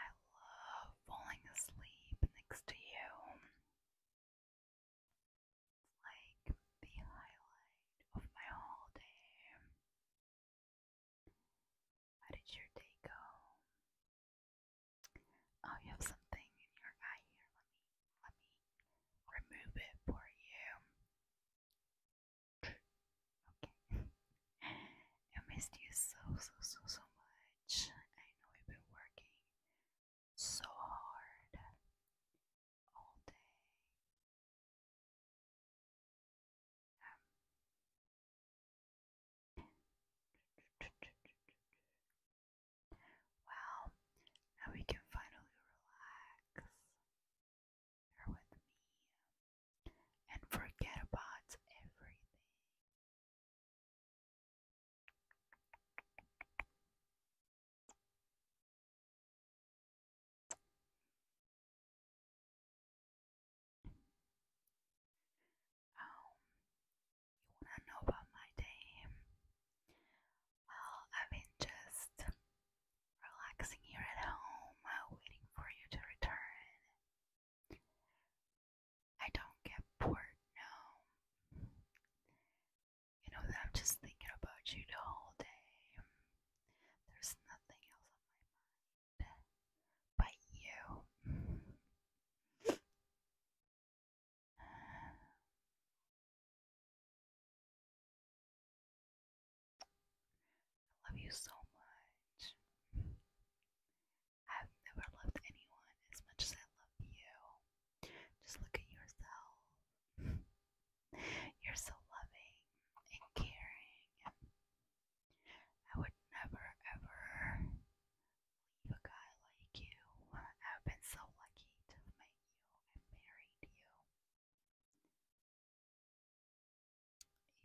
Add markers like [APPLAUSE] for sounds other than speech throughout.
I love falling asleep next to you. It's like the highlight of my whole day. How did your day go? Oh, you have something in your eye here. Let me let me remove it for you. Okay. [LAUGHS] I missed you so, so, so, so much. I know you've been working so hard all day. Um. Well, now we can finally relax here with me and forget about everything. Um, you wanna know about my day? Well, I've been just relaxing here at home, uh, waiting for you to return. I don't get bored, now. You know that I'm just thinking about you the whole day. There's nothing else on my mind but you. [SIGHS] Uh, I love you so much. I've never loved anyone as much as I love you. Just look at yourself. You're so loving and caring. I would never ever leave a guy like you. I've been so lucky to make you married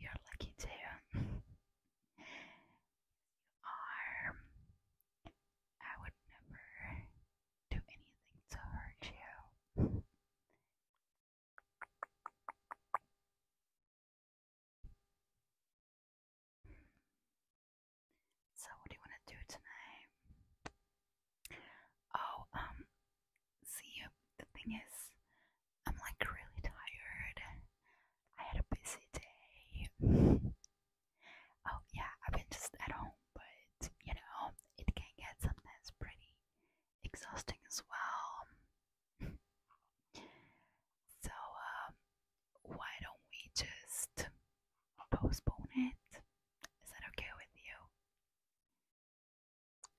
you. You're lucky too. you are. I would never do anything to hurt you. So what do you want to do tonight? Oh, um, see, the thing is, I'm like really tired. I had a busy day. oh, yeah, I've been just at home, but you know, it can get sometimes pretty exhausting as well. [LAUGHS] so, um, why don't we just postpone it? Is that okay with you?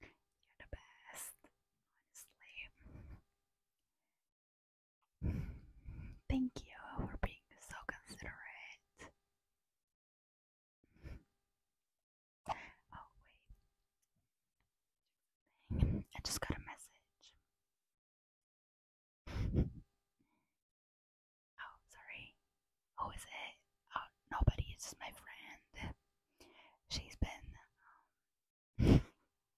You're the best, honestly. Thank you for being so considerate. Oh, wait. I just got a message oh, sorry. Who is it? Oh, nobody. It's just my friend. She's been. Um,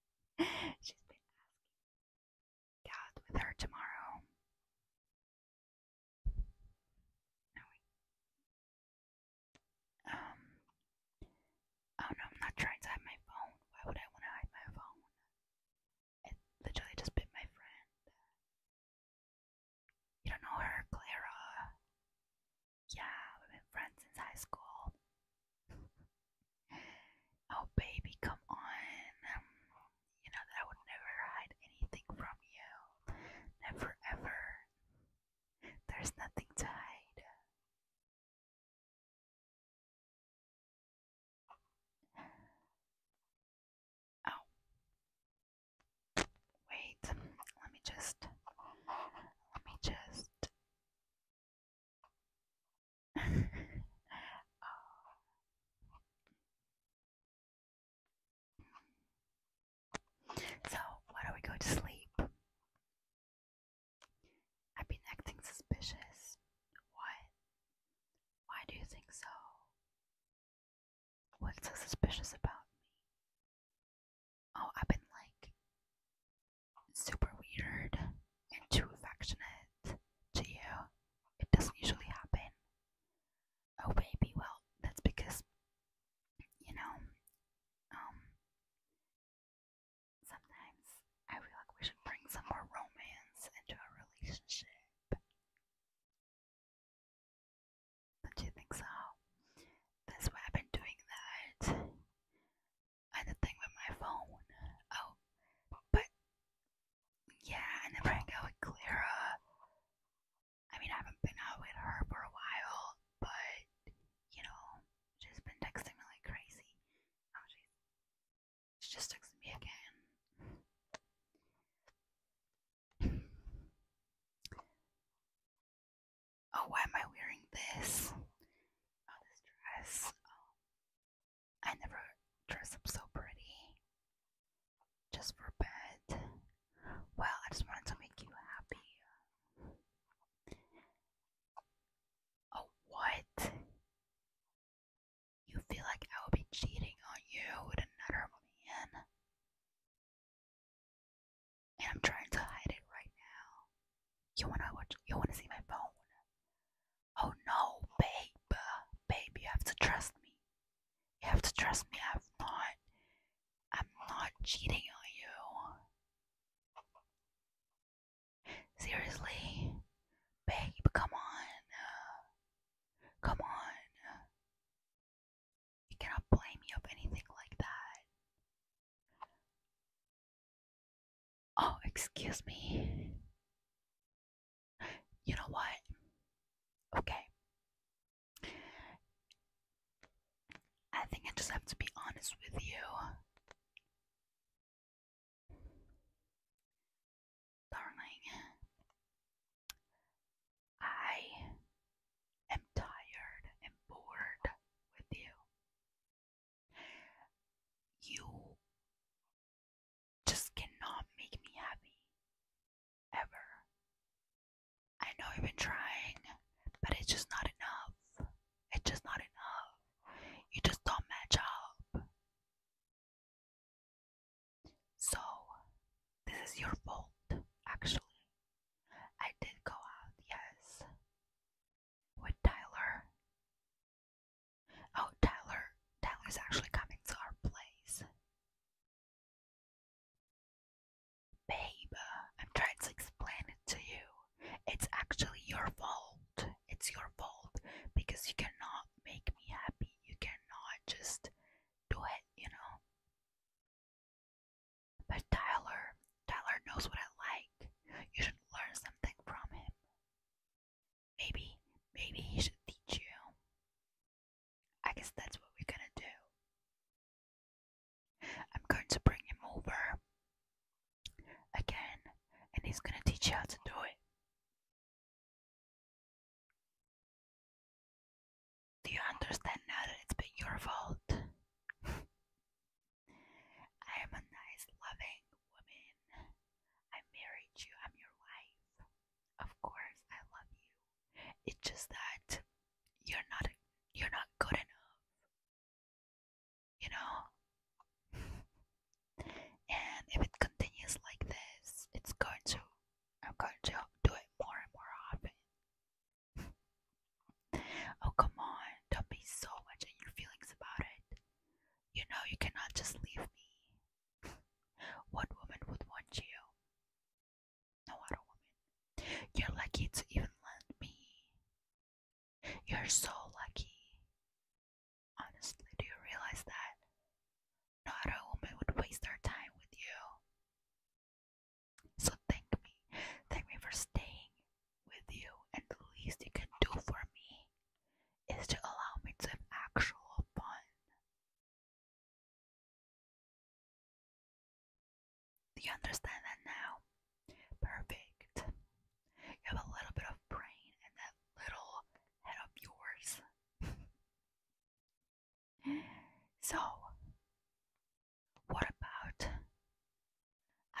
[LAUGHS] she's been asking with her tomorrow. Um. Oh no, I'm not trying to hide my phone. Why would I want to hide my phone? I literally just bit my friend. You don't know her, Clara? Yeah, we've been friends since high school. [LAUGHS] oh, baby, come on. Um, you know that I would never hide anything from you. Never, ever. There's nothing to hide. Oh, wait, let me just. Let me just. [LAUGHS] So, why don't we go to sleep? I've been acting suspicious. What? Why do you think so? What's so suspicious about me? Oh, I've been like super weird and too affectionate to you. It doesn't usually happen. Oh, baby, well, that's because, you know, um, Sometimes I feel like we should bring some more romance into our relationship. Don't you think so? That's why I've been doing that. And the thing with my phone. Oh, but yeah, I never hang out with Clara. I mean, I haven't been out with her for a while, but you know, She's been texting me like crazy. Oh, she's she just texted me again. [LAUGHS] oh, why am I wearing this? Oh, this dress. Oh, I never dress up so pretty. Just for bed. Well, I just wanted to make you happy. Oh, what? You feel like I would be cheating on you with another man? And I'm trying to hide it right now. You wanna watch? You wanna see my phone? Oh no, baby, babe, you have to trust me. You have to trust me. I'm not. I'm not cheating on you. Seriously? Babe, come on. Come on. You cannot blame me of anything like that. Oh, excuse me. You know what? Okay. I think I just have to be honest with you. Darling, I am tired and bored with you. You just cannot make me happy. Ever. I know you've been trying, but it's just not enough. It's just not enough. You just don't match up. So, this is your fault, actually. I did go out, yes, with Tyler. Oh, Tyler. Tyler's actually coming to our place. Babe, I'm trying to explain it to you. It's actually your fault. It's your fault because you cannot make me happy. You cannot just do it, you know? But Tyler, Tyler knows what I like. You should learn something from him. Maybe, maybe he should teach you. I guess that's what we're gonna do. I'm going to bring him over again, and he's gonna teach you how to do it. Do you understand now that it's been your fault? [LAUGHS] I am a nice, loving woman. I married you, I'm your wife. Of course, I love you. It's just that you're not you're not good enough. You know? [LAUGHS] and if it continues like this, it's going to I'm going to do it more and more often. [LAUGHS] oh come on, don't be so much in your feelings about it. You know you cannot just leave me. [LAUGHS] what woman would want you? No other woman. You're lucky to even lend me. You're so lucky. Honestly, do you realize that? No other woman would waste her time with you. So thank me. Thank me for staying with you. And the least you can do for me is to allow me to have actual fun you understand that now? Perfect. You have a little bit of brain and that little head of yours. [LAUGHS] so, what about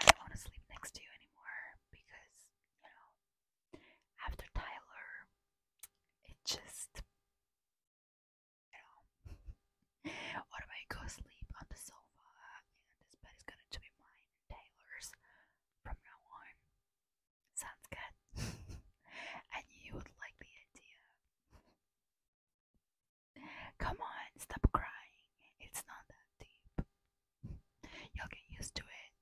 I don't want to sleep next to you anymore because, you know, after Tyler, it just you know. what am I go sleep on the sofa and this bed is gonna be mine and Taylor's from now on. Sounds good. [LAUGHS] and you would like the idea. Come on, stop crying. It's not that deep. You'll get used to it.